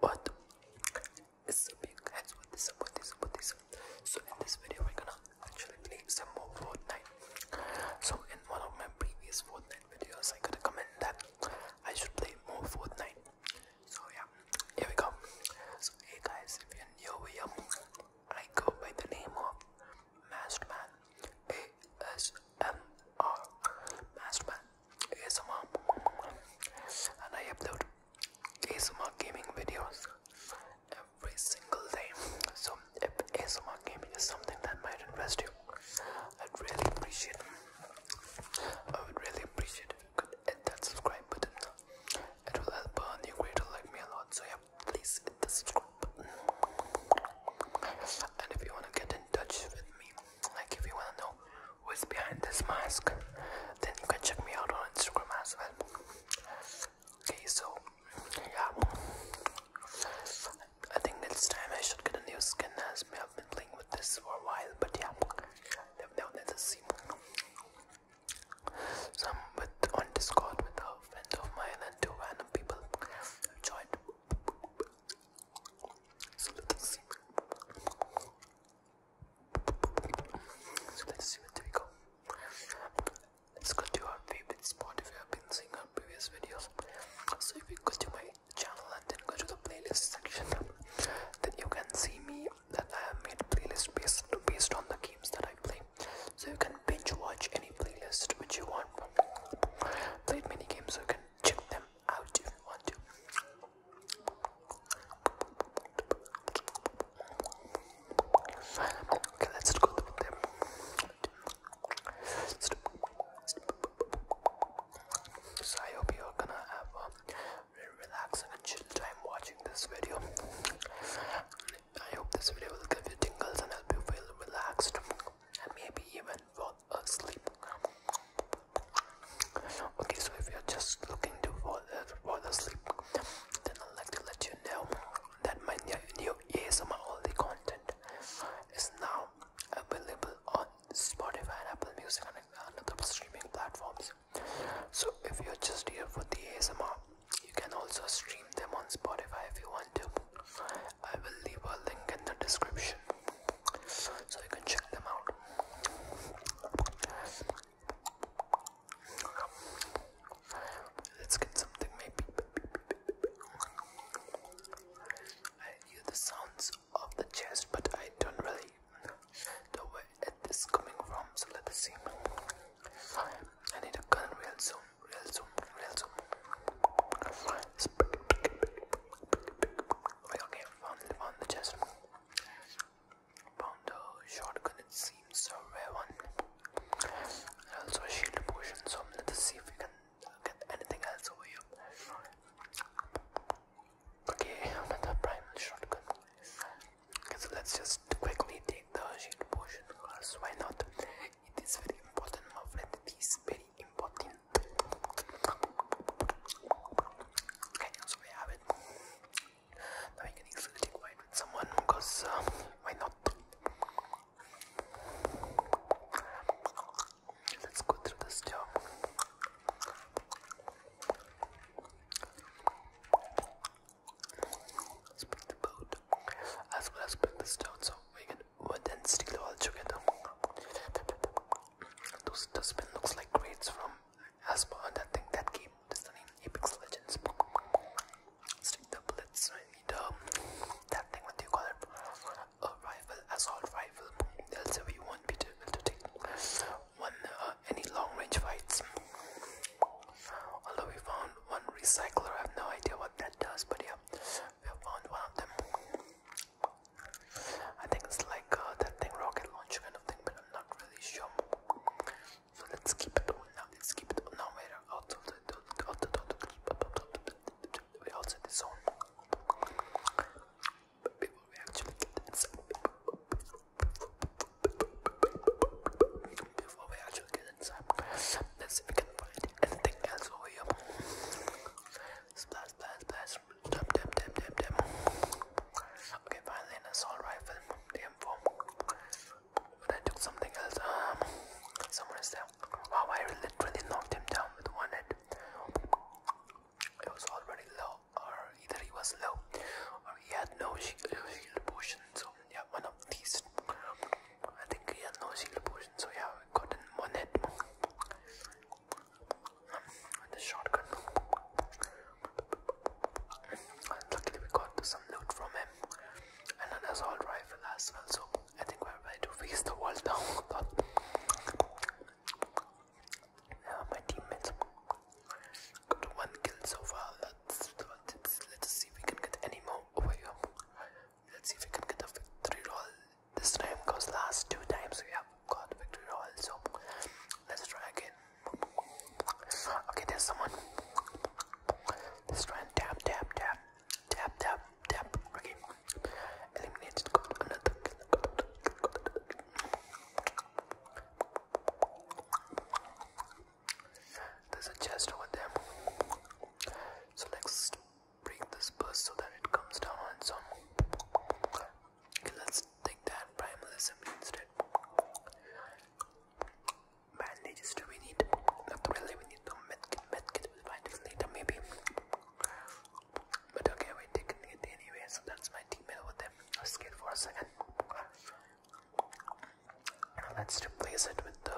But it's a big heads with this up with this up with this So in this video we're gonna actually play some more Fortnite. So in one of my previous Fortnite videos I got a comment that I should play more Fortnite. So yeah, here we go. So hey guys, if you're new here, I go by the name of Masterman. A S M R Masterman. ASMR and I upload ASMR gaming videos every single day. So if ASMR gaming is something that might interest you, I'd really appreciate I would really appreciate if you could hit that subscribe button. It will help a new creator like me a lot. So yeah, please hit the subscribe button. And if you wanna get in touch with me like if you wanna know who's behind this mask, then you can check me out on Instagram as well. Okay, so yeah, I think next time I should get a new skin as I've been playing with this for a while, but yeah, now let's see. So with on Discord with a friend of mine and two random people. joined. So let's see. So let what we go. Let's go to our favorite spot if you have been seeing our previous videos. So if you go to my channel and then go to the playlist section, then you can see me that I have made playlist based based on the games that I play. So you can binge watch any playlist which you want. Played many games so you can check them I Okay, let's go with them. So I hope you're gonna have a very relaxing and chill time watching this video. I hope this video will give you tingles and help you feel relaxed and maybe even fall asleep. Okay, so if you're just looking to fall, uh, fall asleep, then I'd like to let you know that my new, new ASMR only content is now available on Spotify and Apple Music and other streaming platforms. So if you're just here for the ASMR, you can also stream them on Spotify if you want to. I will leave a link in the description so you can check them out. Let's get something maybe. I hear the sounds of the chest, but I don't really know where it is coming from, so let's see. I need a gun real soon, real soon, real soon. Okay, okay, found, the chest. Found the shotgun, it seems, a rare one. also shield potion, so let's see if we can get anything else over here. Okay, another primal shotgun. so let's just quickly take the shield potion, because why not? It is very important, my friend, it is very important. Okay, so we have it. Now I can easily take white with someone because uh, um, why not? Let's go through this job. Split the boat as well as split the stone so we can but then still all together. Those dustbin looks like grades from Aspa, that thing that game. That's the Apex Legends. Stick the bullets. I need um, that thing. What do you call it? A rifle, assault rifle. They'll say we won't be able to take one uh, any long range fights. Although we found one recycler, I have no idea what that does, but yeah we found one of them. I think it's like uh, that thing, rocket launcher kind of thing, but I'm not really sure. So let's keep it on now. Let's keep it on now. We're out of the, the, the, we're the zone. before we actually get inside, before we actually get inside. Let's see if we can find anything else over here. Splash, splash, splash. Dab, dab, dab, dab, dab. Okay, finally an assault rifle. The M4. took something else. Um, someone is there. I literally knocked him down with one hit. It was already low, or either he was low, or he had no shield potion, yeah, one of these. I think he has no shield potion, so yeah, we got a one hit. With the shotgun. And luckily we got some loot from him. And an assault rifle as well, so I think we're ready to face the world now. my teammates got one kill so far. let's, let's see if we can get any more over oh, here. Um, let's see if we can get the victory roll this time because last two times we have got victory roll. So let's try again. Okay, there's someone. Let's tap, tap, tap, tap, tap, tap. Okay, eliminated. Got another. There's a chest over there. So let break this burst so that it comes down on let's take that primal assembly instead. Bandages do we need? Not really, we need the medkit. Medkit will find it later, maybe. But okay, we're taking it anyway, so that's my teammate over there. I was scared for a second let's replace it with the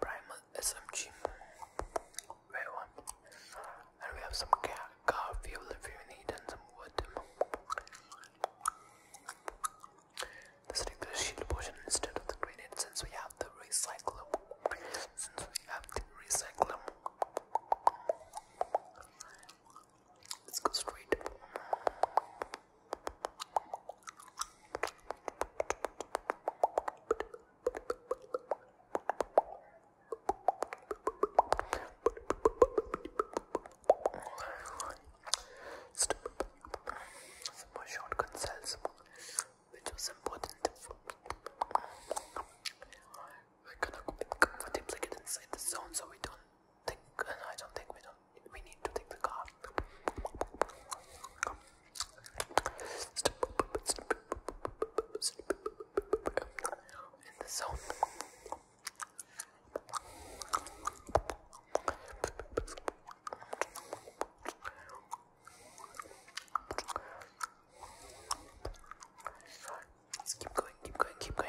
primal SMG. Where And we have some car, fuel if you need and some wood. Let's take the shield potion instead of the grenade since we have the recycler. Since we have the recycler. Let's go straight. Some more shotgun cells, which was important for We're gonna like inside the zone so we don't think, I don't think we don't. We need to take the car. In the zone. Let's keep going, keep going, keep going.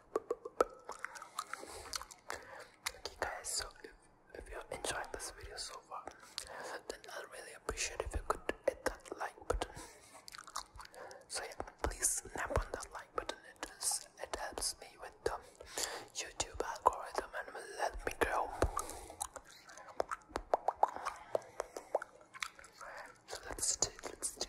Okay guys, so if, you're enjoying this video so far, then I'll really appreciate if you could hit that like button. So yeah, please snap on that like button. It is, it helps me with the YouTube algorithm and let me grow. So let's do let's do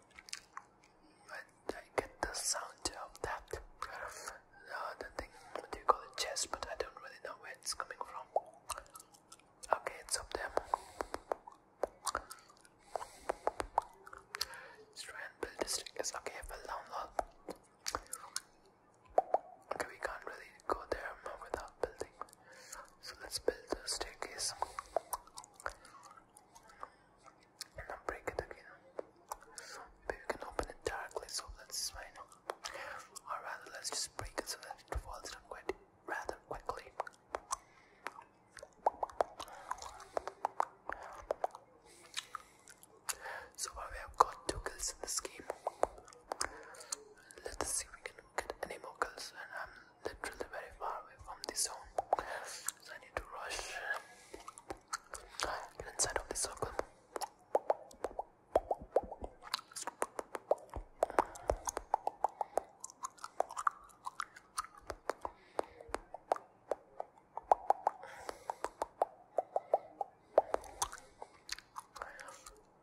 I, get the sound of that kind of uh, the what do you call it, chest, but I don't really know where it's coming from. Okay, it's up there. Let's try and build I will download. Okay, we can't really go there without building. So let's build the staircase and then break it again. Maybe we can open it directly, so that's fine. Or rather, let's just break it so that it falls down quite rather quickly. So far, we have got two kills in this game. Let's see if we can Get any more and I'm literally very far away from the zone. So I need to rush. Get inside of the circle.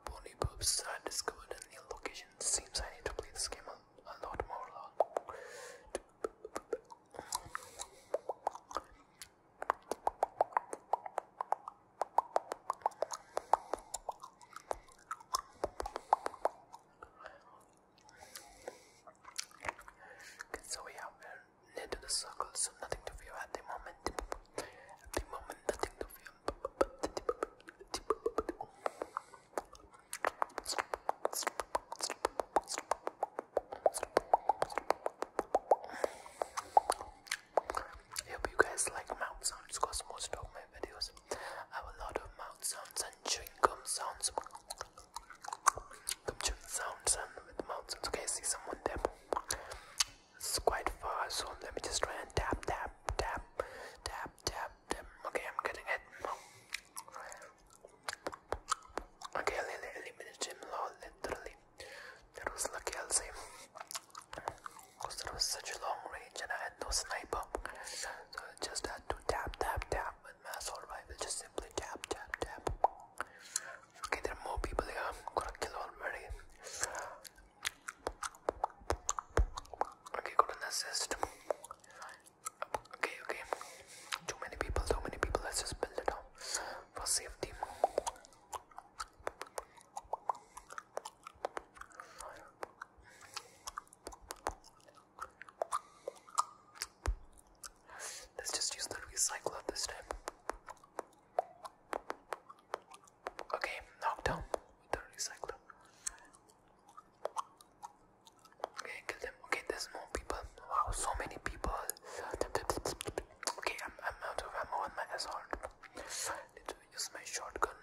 Pony Boobs I discovered a new location. Seems I need to play this game a, lot more. so we are near to the circle, so nothing to fear at the moment. At the moment, nothing to fear. I hope you guys like mouth sounds because most of my videos have a lot of mouth sounds and chewing gum sounds. Gum chewing sounds and with mouth sounds. Okay, I see someone there. It's quite far, so let me just try and tap, tap, tap, tap, tap, tap. Okay, I'm getting it. Okay, I eliminated him lol, literally. That was lucky, I'll say. Because that was such a long range and I had no sniper. So I just had to tap, tap, tap with my assault rifle. Just simply tap, tap, tap. Okay, there are more people here. I'm gonna kill already. Okay, got an assist. Okay, okay. Too many people, too many people. Let's just build it up for safety. Let's just use the recycler this time. Okay, knock down with the recycler. Okay, kill them. Okay, there's more people. Wow, so many people. Okay, I'm I'm out of ammo on my assault. Let's use my shotgun.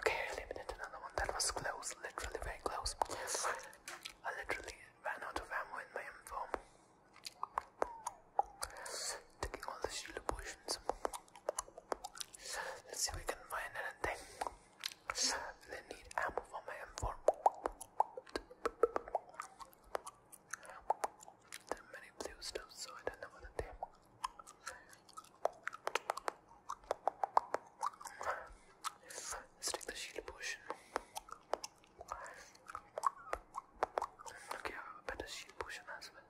Okay, I eliminated another one. That was close, literally very close. I literally ran out of ammo in my M4. Taking all the shield potions. Let's see if we can find anything. They need ammo for my M4. There many blue stuff, so I don't know what they are. take the shield potion. Okay, I have a better sheep potion as well.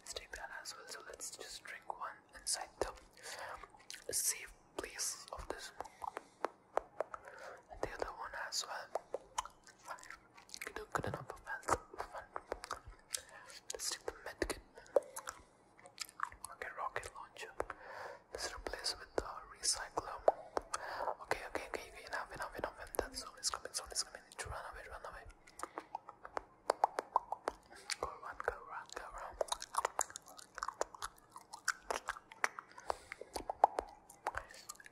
Let's take that as well. So let's just drink one inside the safe place of this, and the other one as well. Good, good enough of health. Let's take the medkit. Okay, rocket launcher. Let's replace the recycler. Okay, okay, okay, okay, enough, enough, enough. And that zone is coming, zone is coming. Run away, run away. Go run, go run, go run.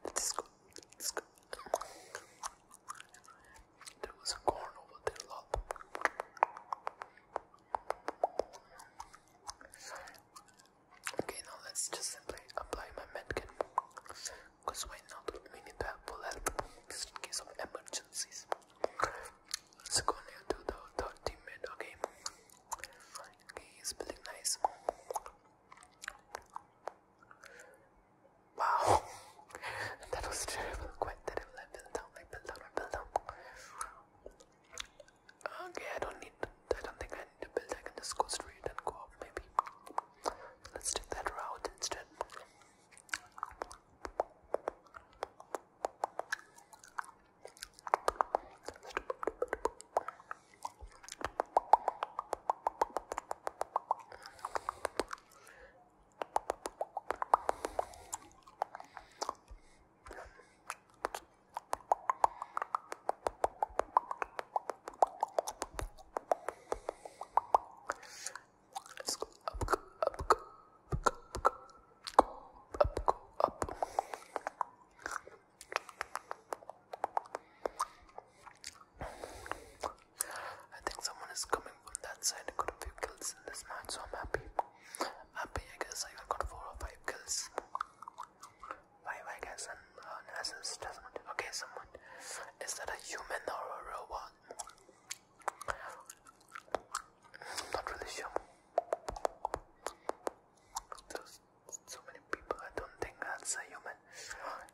Let's go, let's go. There was a corn over there, love. Okay, now let's just simply apply my medkin. Because why not? We need to have bullet just in case of emergencies. Let's go near to the 30 teammate, okay? Okay, it's really nice. Wow, that was terrible, quite terrible. I fell down, I fell down, I down. Okay, oh, I don't need. I don't think I need to build. I can just go straight and go up, maybe. Let's take that route instead. Let's go up, go up, go up, go up, go up. I think someone is coming from that side. I got a few kills in this match, so I'm happy. Happy, I guess I got four or five kills. Why, why guys, an assist does Okay, someone. Is that a human or a robot? Not really sure. There's so many people. I don't think that's a human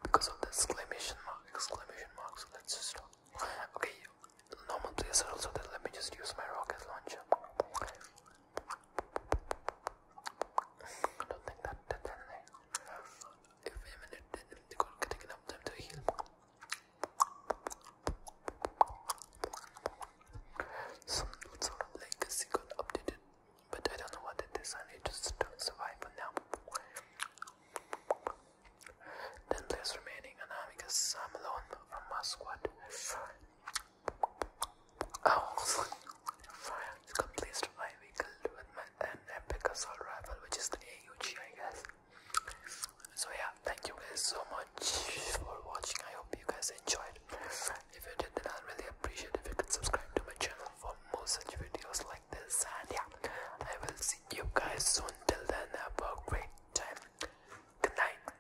because of the exclamation mark. Exclamation mark. So let's just stop. Okay, normal players also then Let me just use my rocket launcher. I don't think that that's anything. If a minute, then they could take enough time to heal. Some dudes are legacy got updated, but I don't know what it is. I need to survive for now. Ten players remaining, and I'm because I'm alone from my squad. I was completely surviving with my an epic assault rifle, which is the AUG, I guess. So yeah, thank you guys so much for watching. I hope you guys enjoyed. If you did, then i really appreciate if you could subscribe to my channel for more such videos like this. And yeah, I will see you guys soon. Till then, have a great time. Good night.